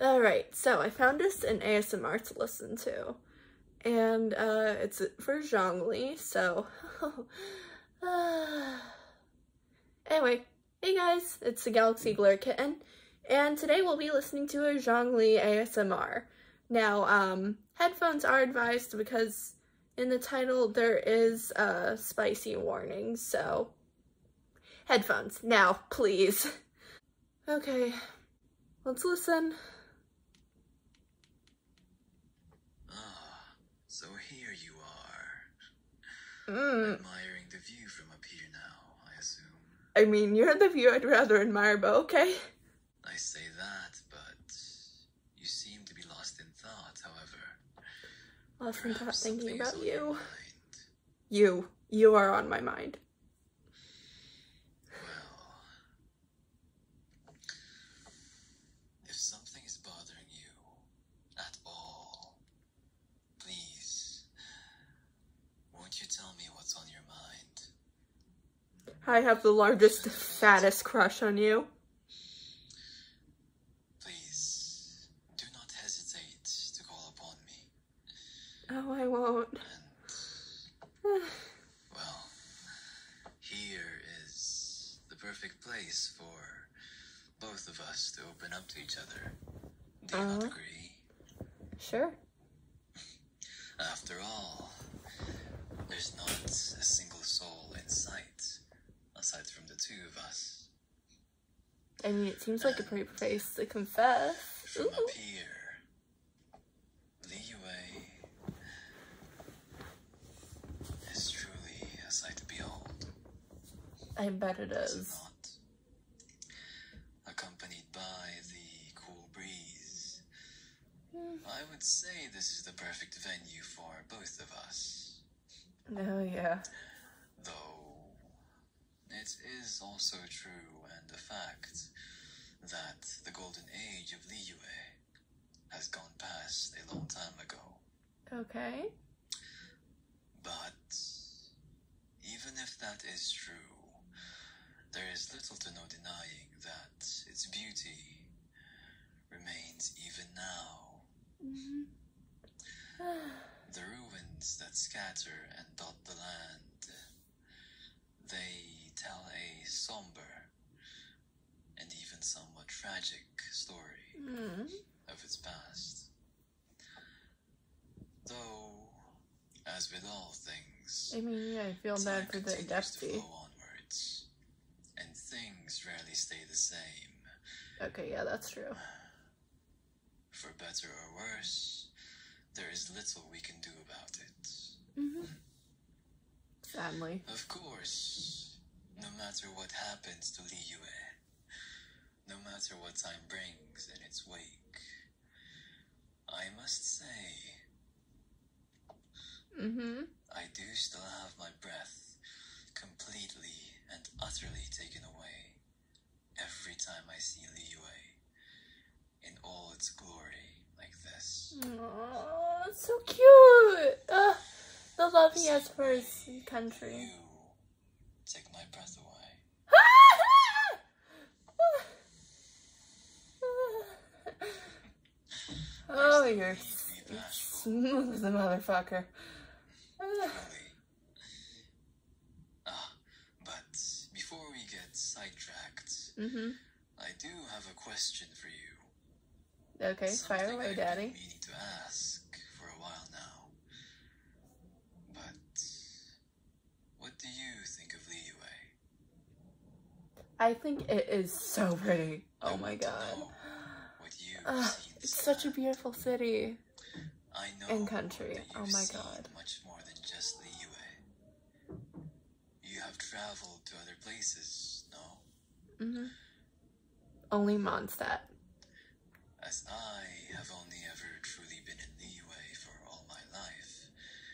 Alright, so I found this an ASMR to listen to, and uh, it's for Zhang Li. so... Uh, anyway, hey guys, it's the Galaxy Glare Kitten, and today we'll be listening to a Zhang Li ASMR. Now, um, headphones are advised because in the title there is a spicy warning, so headphones now, please. Okay, let's listen. Ah, so here you are. Mm. Admiring the view from up here now, I assume. I mean, you had the view I'd rather admire, but okay. I say that, but you seem to be lost in thought, however. Lost Perhaps in thought thinking about you. You. You are on my mind. if something is bothering you at all, please, won't you tell me what's on your mind? I have the largest, fattest crush on you. Please, do not hesitate to call upon me. Oh, I won't. well, here is the perfect place for both of us to open up to each other. Do you uh-huh. agree? Sure. After all, there's not a single soul I mean, it seems like a pretty place to confess. From Ooh. up Liyue is truly a sight to behold. I bet it is. accompanied by the cool breeze I would say this is the perfect venue for both of us. Oh, yeah. Though, it is also true and a fact that the golden age of Liyue has gone past a long time ago. Okay. But, even if that is true, there is little to no denying that its beauty remains even now. Mm-hmm. the ruins that scatter and dot the land, they tell a somber and even somewhat tragic story mm-hmm. of its past. Though, as with all things, I mean, yeah, I feel and things rarely stay the same. Okay, yeah, that's true. For better or worse, there is little we can do about it. hmm Sadly. Of course, no matter what happens to Li Yue, no matter what time brings in its wake, I must say, Mm-hmm. I do still have my breath completely and utterly taken away every time I see Liyue in all its glory like this. Oh, so cute! the love he has for his country. You take my breath away. Oh, you're smooth as motherfucker. Ah, but before we get sidetracked, mm-hmm. I do have a question for you. Okay, fire away, Daddy. what do you think of Liyue? I think it is so pretty oh my god. it's such a beautiful city. and country. Oh my god. You have traveled to other places, mm-hmm. Only Mondstadt. As I have only ever truly been in the for all my life,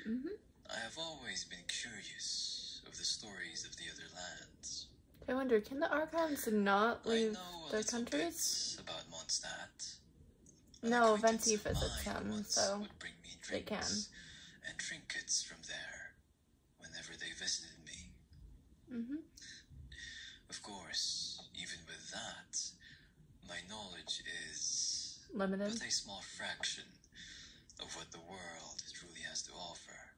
mm-hmm. I have always been curious of the stories of the other lands. I wonder, can the Archons not leave those countries? No, Venti visits them, so they can. trinkets from there, whenever they visited me. Mm-hmm. Of course, even with that, my knowledge is limited, but a small fraction of what the world truly has to offer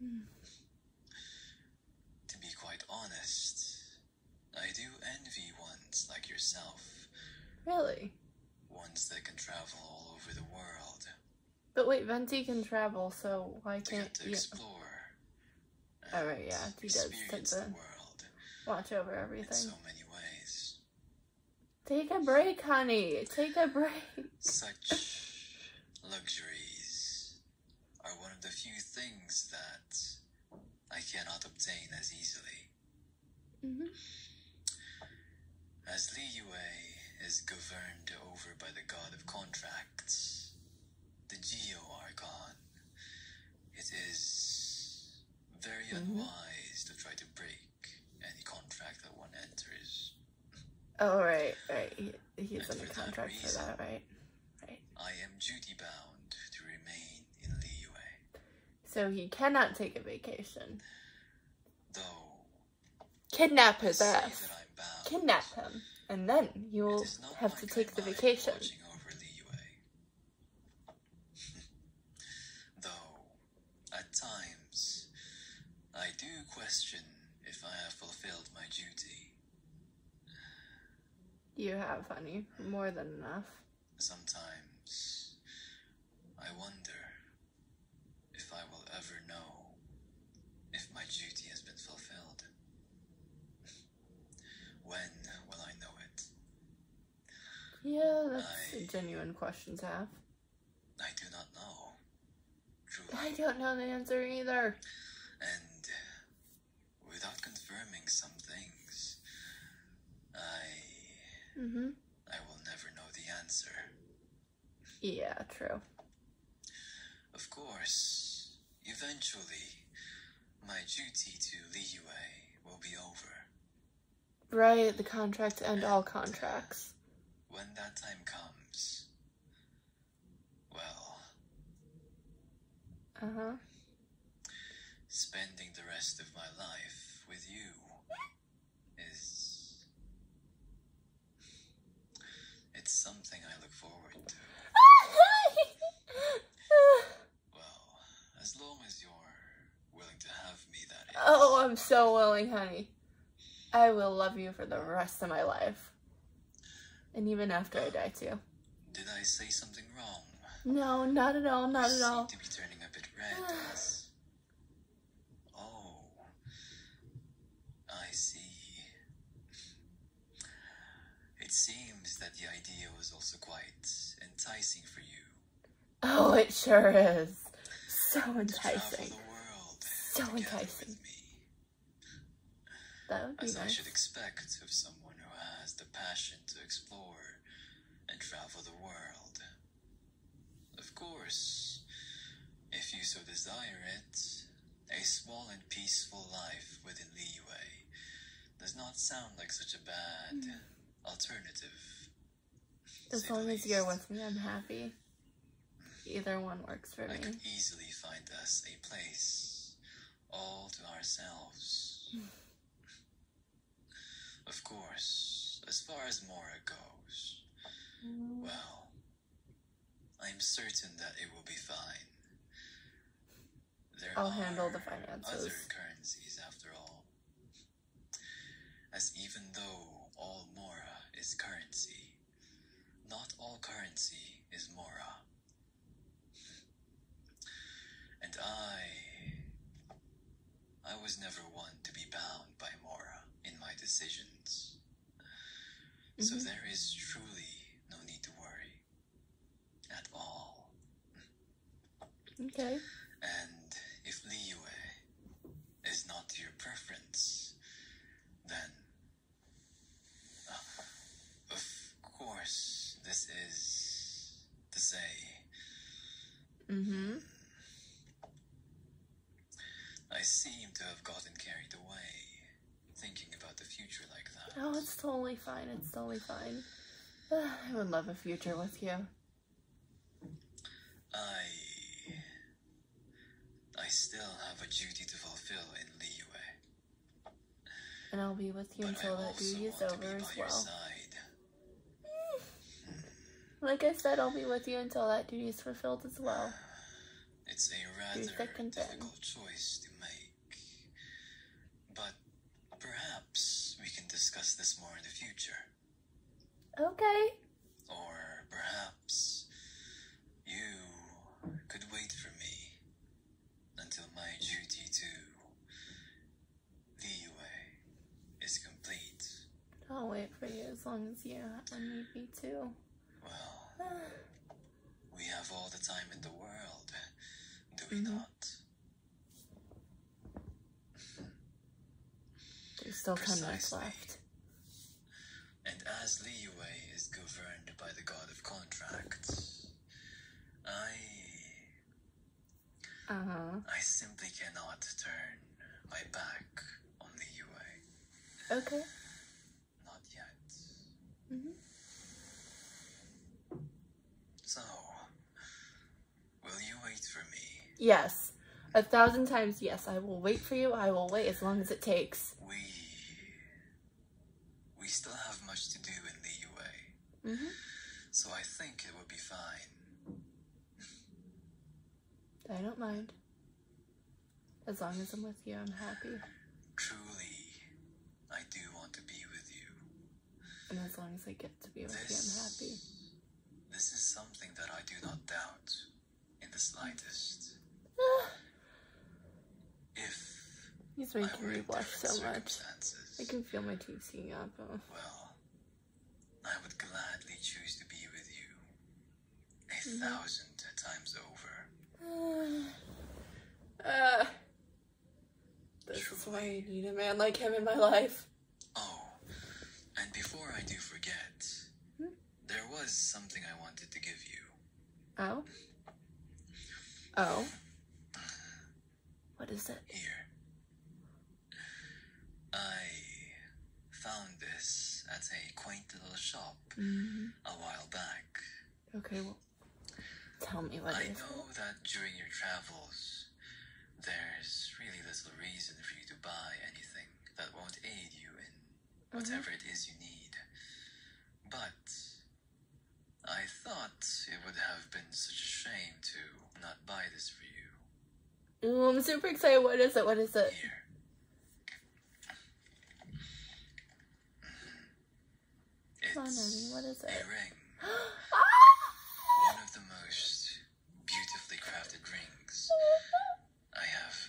there. To be quite honest, I do envy ones like yourself. Really? Ones that can travel all over the world. But wait, Venti can travel, so why can't to you? explore. Alright, oh, yeah, he does take the, world. Watch over everything. so many ways. Take a break, honey. Take a break. Such Luxuries are one of the few things that I cannot obtain as easily. Mm-hmm. As Liyue is governed over by the god of contracts, the Geo are gone. it is very mm-hmm. unwise to try to break any contract that one enters. Oh, right, right. He, he's and under contract for, that, right? Right. I am duty bound to remain in Liyue. So he cannot take a vacation. Though. Kidnap his ass. Kidnap him. And then you'll have to take the vacation. Though, at times, I do question if I have fulfilled my duty. You have, honey. More than enough. Sometimes I wonder if I will ever know if my duty has been fulfilled. when will I know it? Yeah, that's I, a genuine question to have. I do not know. I don't know the answer either. And without confirming some things, I. Mm-hmm. I will never know the answer. Yeah, true. Of course, eventually, my duty to Liyue will be over. Right, the contract end and all contracts. When that time comes, well. Uh huh. Spending the rest of my life with you is. It's something I look forward to. well, as long as you're willing to have me, that is. Oh, I'm so willing, honey. I will love you for the rest of my life. And even after I die, too. Did I say something wrong? No, not at all, not at all. oh, I see. It seems that the idea was also quite enticing for you. Oh, it sure is. So enticing. So enticing. As I should expect of someone who has the passion to explore and travel the world. Of course, if you so desire it, a small and peaceful life within leeway does not sound like such a bad mm. alternative. As long as you're with me, I'm happy. Either one works for me. I could easily find us a place all to ourselves. of course, as far as Mora goes, mm. well, I'm certain that it will be fine. I'll handle the finances. Other currencies, after all. As even though all Mora is currency, not all currency is Mora. And I. I was never one to be bound by Mora in my decisions. So mm-hmm. there is truly no need to worry. At all. Okay. And if Liyue is not your preference, then of course, this is the Zay. Mm-hmm. I seem to have gotten carried away, thinking about the future like that. Oh, it's totally fine. It's totally fine. I would love a future with you. I I still have a duty to fulfill in Liyue. And I'll be with you until that duty is over as well. Hmm. like I said, I'll be with you until that duty is fulfilled as well. It's a rather difficult choice to make. But perhaps we can discuss this more in the future. Okay. Or perhaps you could wait for me until my duty to Liyue is complete. I'll wait for you as long as you need me to. Well, we have all the time in the world, do we mm-hmm. not? There's still Precisely. 10 minutes left. And as leeway is governed by the god of contracts, I. Uh-huh. I simply cannot turn my back on leeway. Okay. Not yet. Mm hmm. So, will you wait for me? Yes. A thousand times yes. I will wait for you. I will wait as long as it takes. We we still have much to do in the UA. Mm-hmm. So I think it would be fine. I don't mind. As long as I'm with you, I'm happy. Truly, I do want to be with you. And as long as I get to be with you, I'm happy. This is something that I do not doubt in the slightest. Ah. if He's making me blush so much. I can feel my teeth seeing up. Oh. Well, I would gladly choose to be with you a mm-hmm. thousand times over. Uh, That's why I need a man like him in my life. Oh, and before I do forget, hmm? There was something I wanted to give you. Oh? Oh? What is it? Here. I found this at a quaint little shop mm-hmm. a while back. Okay, well, tell me what I know that during your travels, there's really little reason for you to buy anything that won't aid you in whatever it is you need. But I thought it would have been such a shame to not buy this for you. Oh, I'm super excited. What is it? What is it? Here. It's A ring. Ah! One of the most beautifully crafted rings I have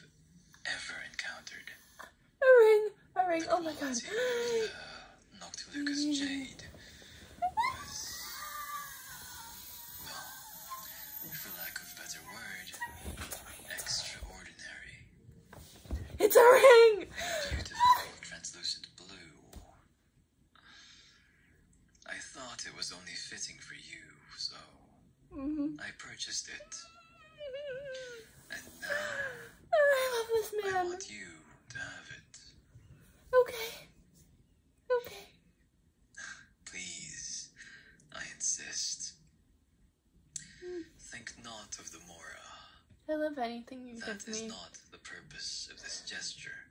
ever encountered. A ring, a ring. Oh my god. Noctilucus Jade was, well, for lack of a better word, extraordinary. It's a ring! Beautiful, translucent blue. I thought it was only fitting for you, so mm -hmm. I purchased it. I love this man. Okay. Okay. Please, I insist. Think not of the Mora. I love anything you that give me. That is not the purpose of this gesture.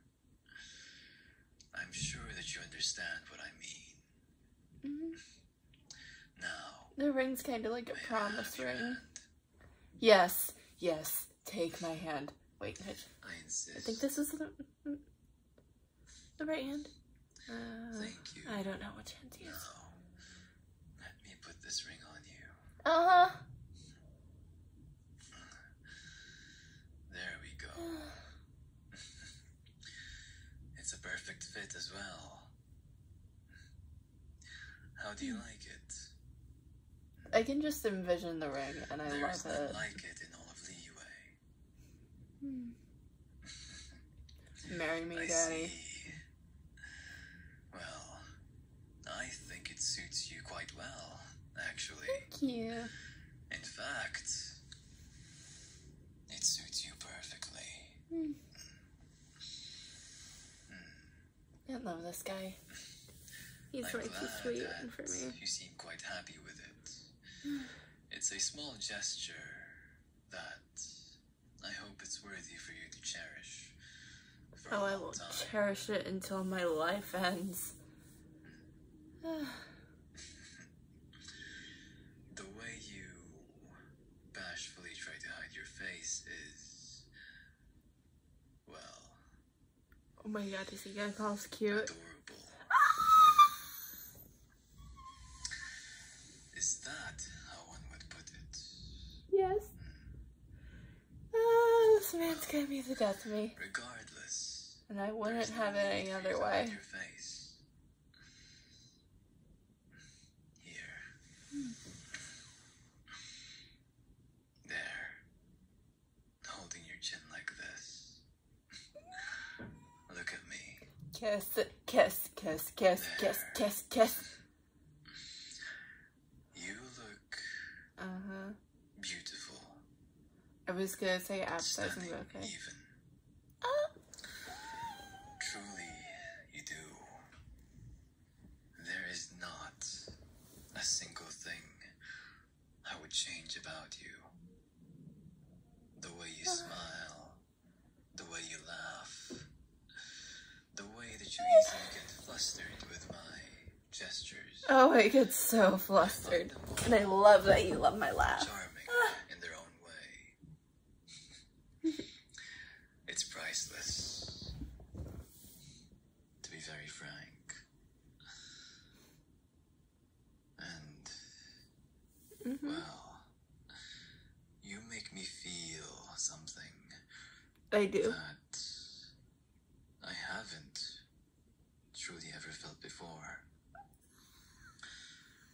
I'm sure that you understand what I mean. Mm-hmm. No. The ring's kind of like a promise ring. Yes, yes, take my hand. Wait, I, insist. I think this is the, mm, mm, the right hand. Uh, Thank you. I don't know which hand to use. Let me put this ring on you. Uh-huh. There we go. it's a perfect fit as well. How do you like it? I can just envision the ring, and I love it. like it in all of leeway. Hmm. Marry me, I Daddy. See. Well, I think it suits you quite well, actually. Thank you. In fact, it suits you perfectly. Hmm. Hmm. I love this guy. He's I'm like too for me. You seem quite happy with it. it's a small gesture that I hope it's worthy for you to cherish. oh, I will cherish it until my life ends. the way you bashfully Oh my god, this guy sounds cute. Adorable. Ah! is that how one would put it? Yes. Oh, this man's gonna be the death of me. Regardless. And I wouldn't have it any other way. Here. Mm. There. Holding your chin like this. Look at me. Kiss, kiss, kiss, kiss, there. kiss, kiss, kiss. You look uh -huh. beautiful. I was gonna say appetizing, but okay. Even. Ah. Truly, you do. There is not a single thing I would change about you. The way you ah. smile, the way you laugh, the way that you easily get flustered with my gestures. Oh, I get so flustered. and I love that you love my laugh. Charming ah it's priceless. To be very frank. And. Mm-hmm. Well, you make me feel something. I do. That I haven't truly ever felt before.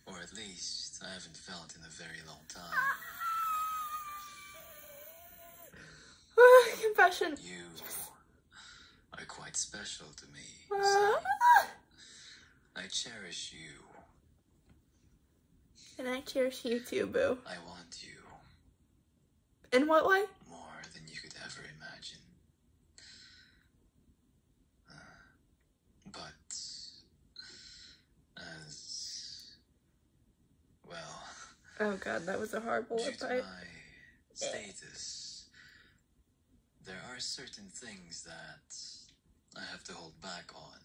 Or at least I haven't felt in a very long time. confession. You are quite special to me. Ah. I cherish you. And I cherish you too, boo. I want you. In what way? More than you could ever imagine. Uh, but as well. Oh god, that was a horrible due to my status, there are certain things that I have to hold back on.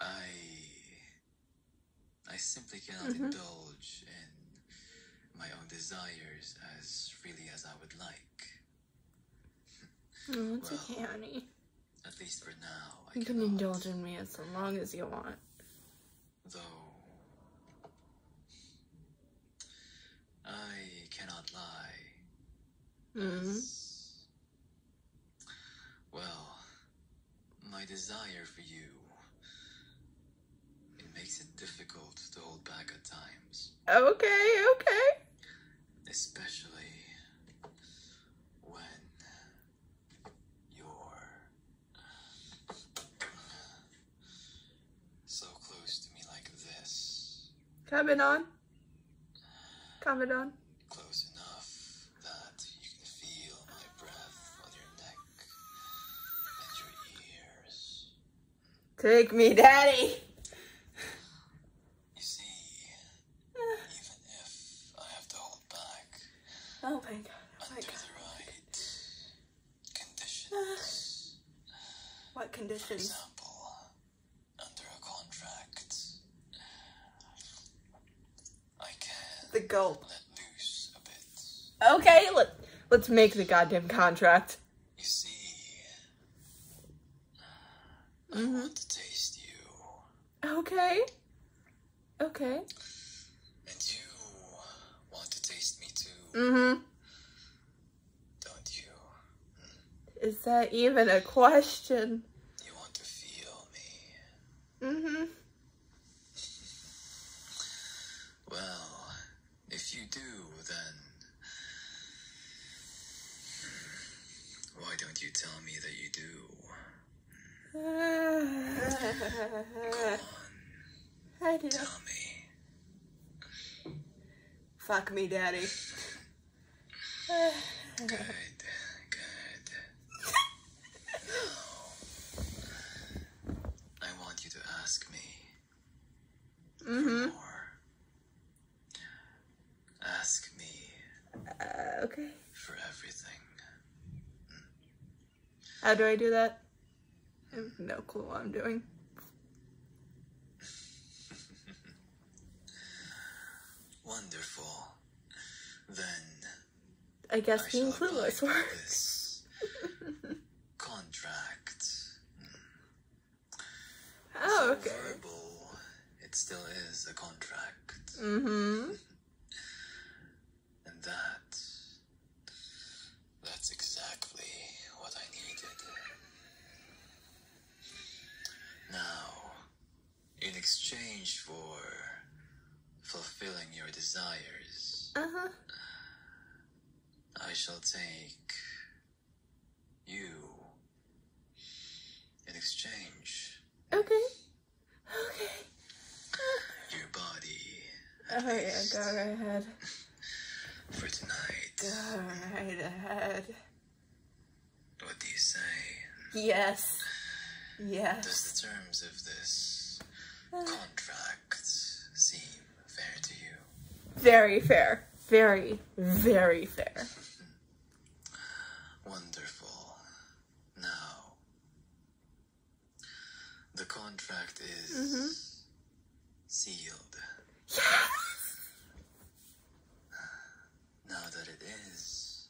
I I simply cannot mm-hmm. indulge in my own desires as freely as I would like. Mm, it's okay, honey. At least for now, You can indulge in me as long as you want. Though... I cannot lie. -hmm. well, my desire for you, it makes it difficult to hold back at times. Okay, okay. Especially when you're so close to me like this. Coming on. Coming on. Close enough that you can feel my breath on your neck and your ears. Take me, Daddy. You see, even if I have to hold back. Oh my god. Oh under the oh right conditions. what conditions? For example, under a contract, I can. The gulp. Let loose a bit. Okay, let, let's make the goddamn contract. You see, I mm-hmm. want to taste you. Okay. Okay. And you want to taste me too. Mm-hmm. Don't you? Is that even a question? You want to feel me. Mm-hmm. well, if you do, then... Why don't you tell me that you do? I do. Tell me. Fuck me, Daddy. Good. Good. I want you to ask me. mm Ask me. Uh, okay. For everything. How do I do that? I have no clue what I'm doing. Wonderful. Then. I guess being clueless works. contract. Oh, okay it still is a contract. Mm-hmm. and that that's exactly what I needed. Now, in exchange for fulfilling your desires, uh-huh. I shall take you in exchange. Okay. Okay. Your body. Oh yeah, go right ahead. For tonight. Go right ahead. What do you say? Yes. Yes. Does the terms of this contract seem fair to you? Very fair. Very, very fair. Wonderful. Now, the contract is mm-hmm. sealed. Yes! Now that it is,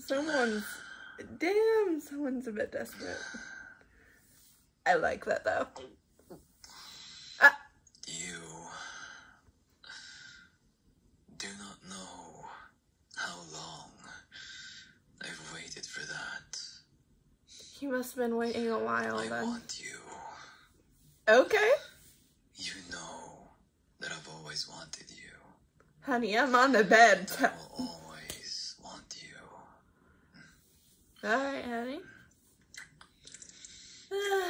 someone's damn, someone's a bit desperate. I like that though. Ah. You do not know how long I've waited for that. You must have been waiting a while I want you. Okay. You know that I've always wanted you. Honey, I'm on the bed. I will always want you. All right, honey.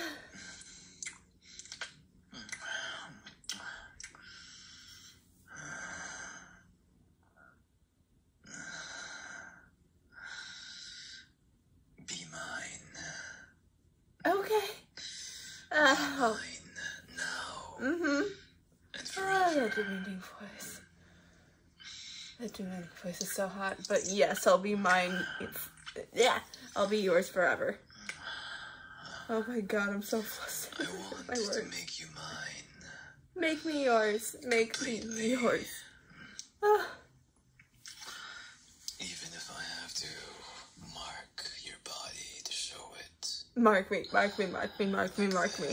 Be mine. Okay. Uh, oh. Mine now. hmm And forever. Oh, voice. That do know place is so hot, but yes, I'll be mine. yeah, I'll be yours forever. Oh my god, I'm so flustered. I want my to make you mine. Make me yours. Make me yours. Ah. Even if I have to mark your body to show it. Mark me, mark me, mark me, mark me, mark me.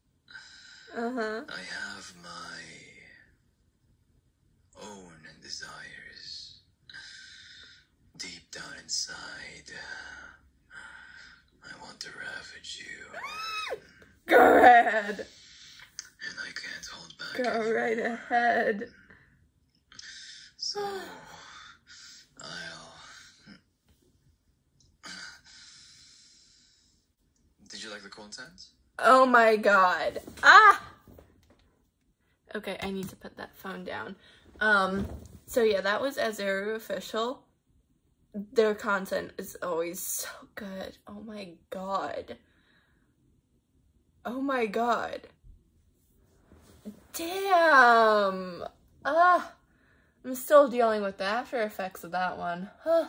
Uh-huh. I have my own desires deep down inside. Uh, I want to ravage you. Go ahead. Go right ahead. So I'll did you like the content? Oh my god. Ah! Okay, I need to put that phone down. Um, so yeah, that was Azaru Official. Their content is always so good. Oh my god. Oh my god. Damn! Ah! I'm still dealing with the after effects of that one. Huh.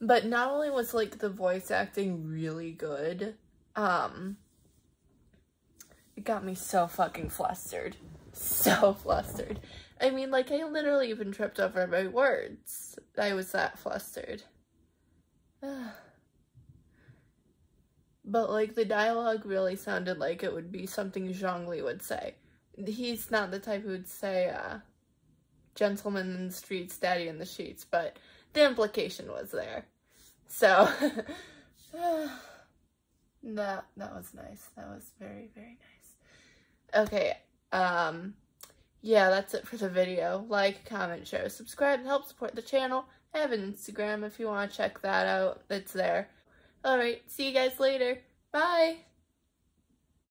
But not only was like the voice acting really good, um it got me so fucking flustered. So flustered. I mean, like I literally even tripped over my words. I was that flustered. but like the dialogue really sounded like it would be something Zhang Li would say. He's not the type who would say, uh, gentleman in the streets, daddy in the sheets, but the implication was there. So that that was nice. That was very, very nice. Okay, um yeah, that's it for the video. Like, comment, share, subscribe, and help support the channel. I have an Instagram if you want to check that out. It's there. Alright, see you guys later. Bye!